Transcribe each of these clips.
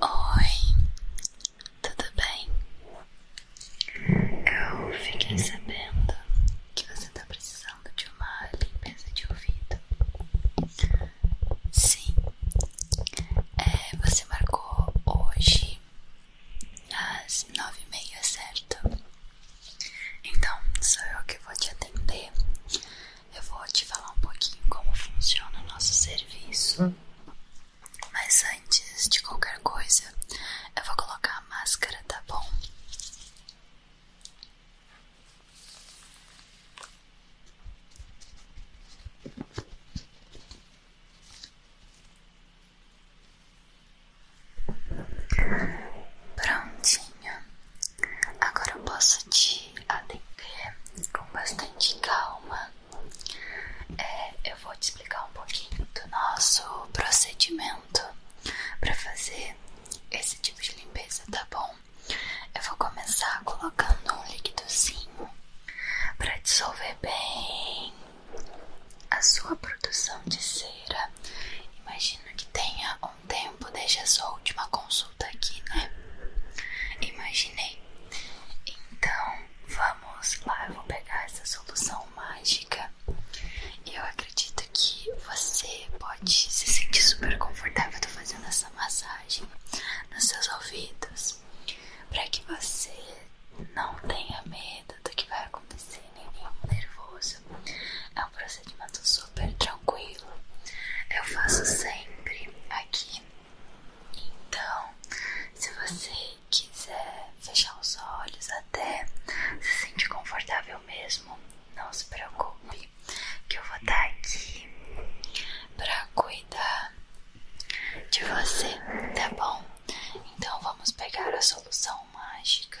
Oi, tudo bem? Eu fiquei sabendo que você está precisando de uma limpeza de ouvido. Sim, é, você marcou hoje às nove e meia, certo? Então sou eu que vou te atender eu vou te falar um pouquinho como funciona o nosso serviço. Hum. Mas antes de qualquer coisa, eu vou colocar a máscara, tá bom? Prontinho, Agora eu posso te atender com bastante calma. É, eu vou te explicar um pouquinho do nosso procedimento para fazer esse tipo de limpeza, tá bom? Eu vou começar colocando um líquidozinho para dissolver bem a sua produção de cera. Imagino que tenha tempo desde a sua última consulta aqui, né? Imaginei. Então, vamos lá, eu vou pegar essa solução mágica. E eu acredito que você pode se sentir super confortável fazendo essa massagem nos seus ouvidos, para que você não tenha medo do que vai acontecer, nem fique nervoso. É um procedimento super tranquilo. Eu faço sempre aqui. Então, se você quiser fechar os olhos até se sentir confortável mesmo, não se preocupe que eu vou estar aqui para cuidar de você, tá bom? Então vamos pegar a solução mágica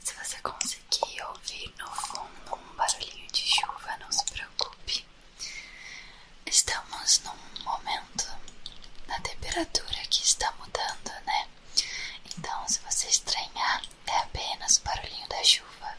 Se você conseguir ouvir no fundo um barulhinho de chuva, não se preocupe. Estamos num momento na temperatura que está mudando, né? Então, se você estranhar, é apenas o barulhinho da chuva.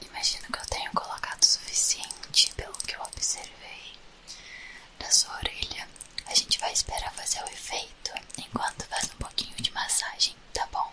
Imagino que eu tenho colocado o suficiente pelo que eu observei na sua orelha. A gente vai esperar fazer o efeito enquanto faz um pouquinho de massagem, tá bom?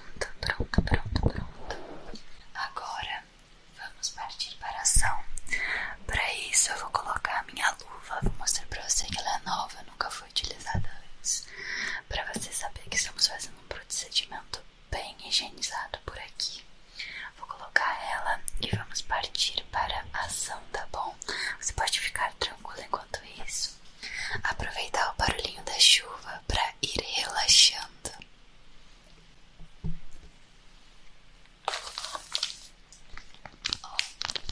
Pronto, pronto, pronto, pronto. Agora vamos partir para a ação. Para isso, eu vou colocar a minha luva. Vou mostrar para você que ela é nova, nunca foi utilizada antes. Para você saber que estamos fazendo um procedimento bem higienizado por aqui. Vou colocar ela e vamos partir para a ação, tá bom? Você pode ficar tranquilo enquanto isso aproveitar o barulhinho da chuva para ir relaxando.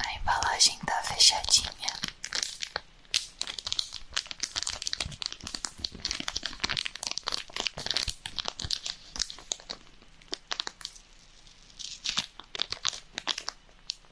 a embalagem tá fechadinha.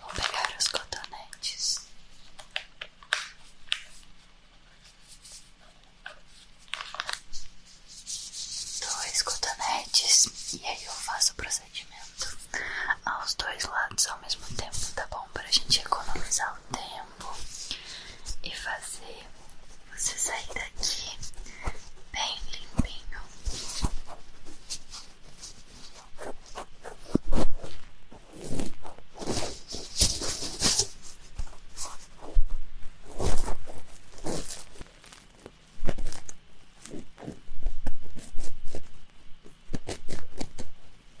Vou pegar os cotonetes. Dois cotonetes e aí eu faço o procedimento aos dois lados ao mesmo tempo, tá bom? para a gente economizar o tempo e fazer você sair daqui bem limpinho.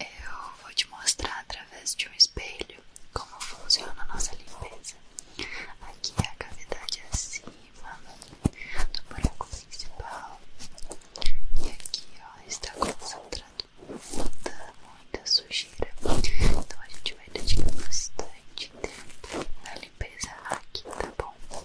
eu vou te mostrar através de um espelho como funciona a nossa limpeza. Aqui é a cavidade acima do buraco principal. E aqui ó, está concentrado muita, sujeira. Então a gente vai dedicar bastante tempo na limpeza aqui, tá bom?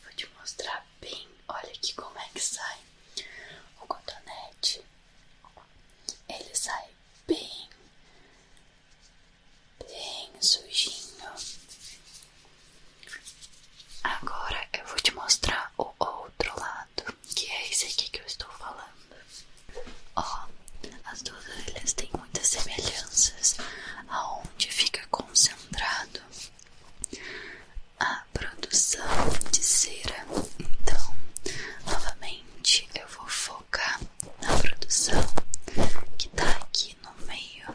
Vou te mostrar bem, olha aqui como é que sai o cotonete. Ele sai bem bem sujinho. Agora eu vou te mostrar o outro lado, que é esse aqui que eu estou falando. Ó, as duas orelhas têm muitas semelhanças, aonde fica concentrado a produção de cera. Então, novamente eu vou focar na produção que tá aqui no meio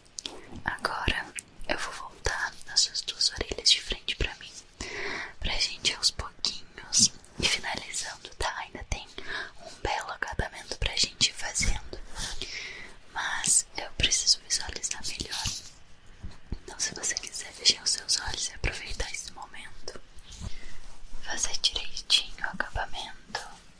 Agora eu vou voltar nas suas duas orelhas de frente pra mim, pra gente aos pouquinhos e finalizando, tá? Ainda tem um belo acabamento pra gente ir fazendo, mas eu preciso visualizar melhor. Então, se você quiser fechar os seus olhos e aproveitar esse momento, fazer direitinho o acabamento.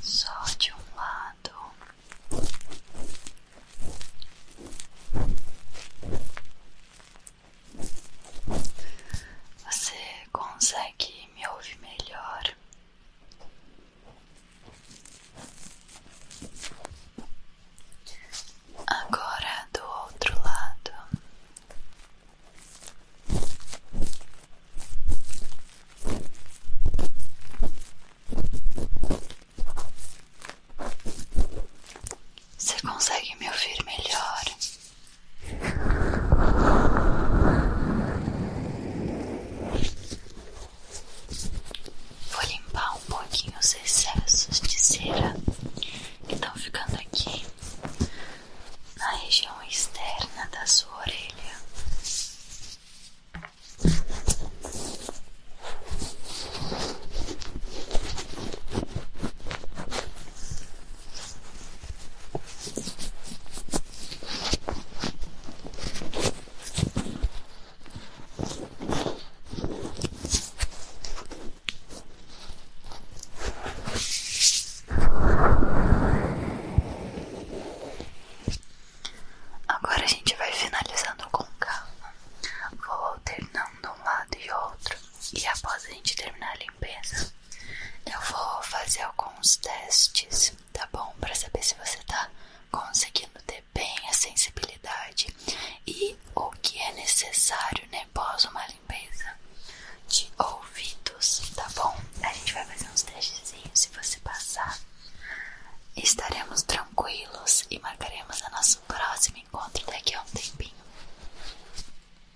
Só de um lado. Você consegue me ouvir melhor? Agora do outro lado. Você consegue me ouvir melhor? Vou limpar um pouquinho os excessos de cera que estão ficando aqui na região externa da sua orelha. Agora a gente vai finalizando com calma, vou alternando um lado e outro, e após a gente terminar a limpeza, eu vou fazer alguns testes, tá bom? Pra saber se você tá conseguindo ter bem a sensibilidade e o que é necessário, né? Pós uma limpeza de ouvidos, tá bom? A gente vai fazer uns testezinhos. Se você passar, estaremos tranquilos e marcaremos o nosso próximo encontro daqui a um tempinho.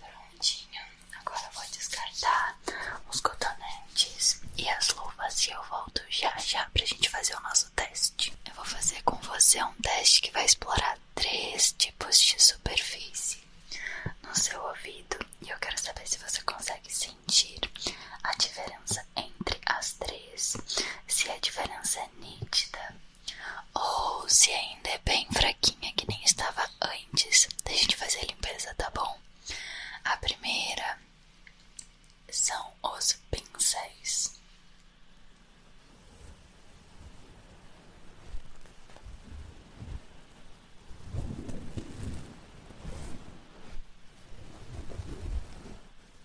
Prontinho, agora vou descartar os cotonetes e as luvas e eu volto já já para a gente fazer o nosso teste. Eu vou fazer com você um teste que vai explorar três tipos de superfície no seu ouvido e eu quero saber se você consegue sentir a diferença entre as três, se a diferença é nítida ou se ainda é bem fraquinha que nem estava antes. Deixa gente fazer a limpeza, tá bom? A primeira são os pincéis.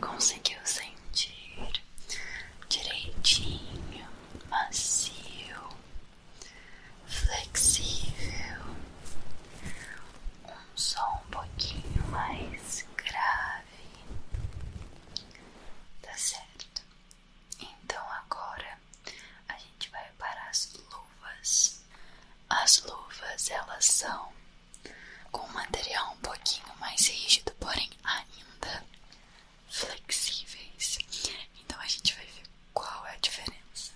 Conseguiu sentir direitinho, macio, flexível, um som um pouquinho mais grave, tá certo? Então agora a gente vai para as luvas. As luvas elas são com um material um pouquinho mais rígido, porém ainda flexíveis. Então a gente vai ver qual é a diferença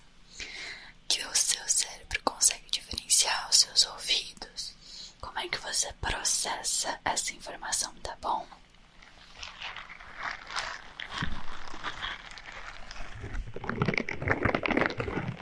que o seu cérebro consegue diferenciar os seus ouvidos. Como é que você processa essa informação, tá bom?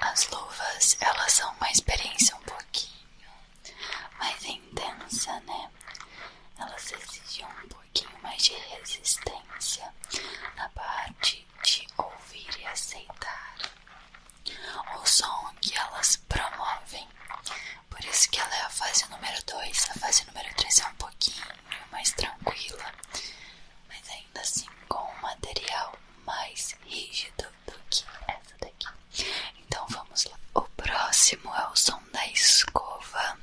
As luvas, elas são uma experiência um pouquinho mais intensa, né? elas exigiam um pouquinho mais de resistência na parte de ouvir e aceitar o som que elas promovem. Por isso que ela é a fase número 2, a fase número 3 é um pouquinho mais tranquila, mas ainda assim com um material mais rígido do que essa daqui. Então vamos lá. O próximo é o som da escova.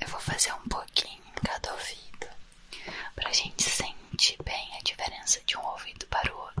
Eu vou fazer um pouquinho em cada ouvido para a gente sentir bem a diferença de um ouvido para o outro.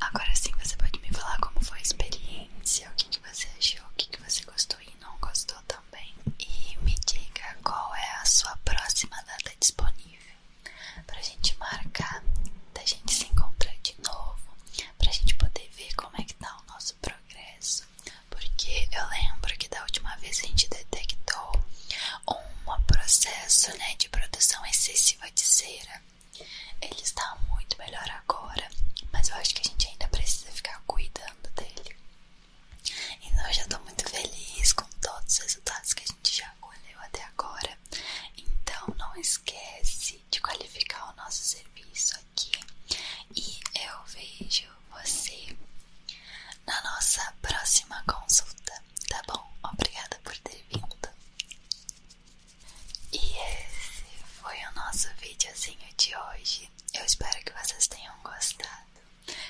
Agora sim você pode me falar como foi a experiência, o que, que você achou, o que, que você gostou e não gostou também. E me diga qual é a sua próxima data disponível para a gente marcar, para a gente se encontrar de novo, para a gente poder ver como é que tá o nosso progresso, porque eu lembro que da última vez a gente detectou um processo né, de produção excessiva de cera. Ele está muito melhor agora, mas eu acho que a gente ainda precisa ficar cuidando dele. Então eu já estou muito feliz com todos os resultados que a gente já colheu até agora. Então não esquece de qualificar o nosso serviço aqui e eu vejo você na nossa próxima consulta, tá bom? Obrigada por ter vindo. E esse foi o nosso vídeozinho de hoje. Eu espero que vocês tenham gostado.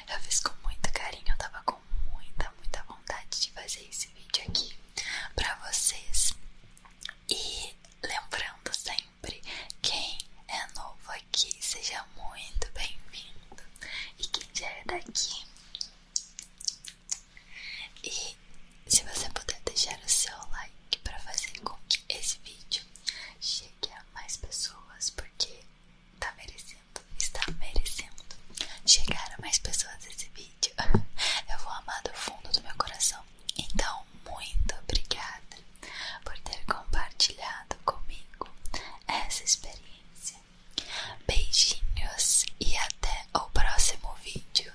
Eu fiz com muito carinho, tava com muita, muita vontade de fazer esse vídeo aqui pra vocês. E lembrando sempre sempre. Quem é novo aqui, seja muito bem-vindo. E quem já é daqui. E se você puder deixar o seu like para fazer com que esse vídeo chegue a mais pessoas, porque tá merecendo, está merecendo chegar a mais pessoas esse vídeo. Eu vou amar do fundo do meu coração então, muito obrigada por ter compartilhado comigo essa experiência. Beijinhos e até o próximo vídeo.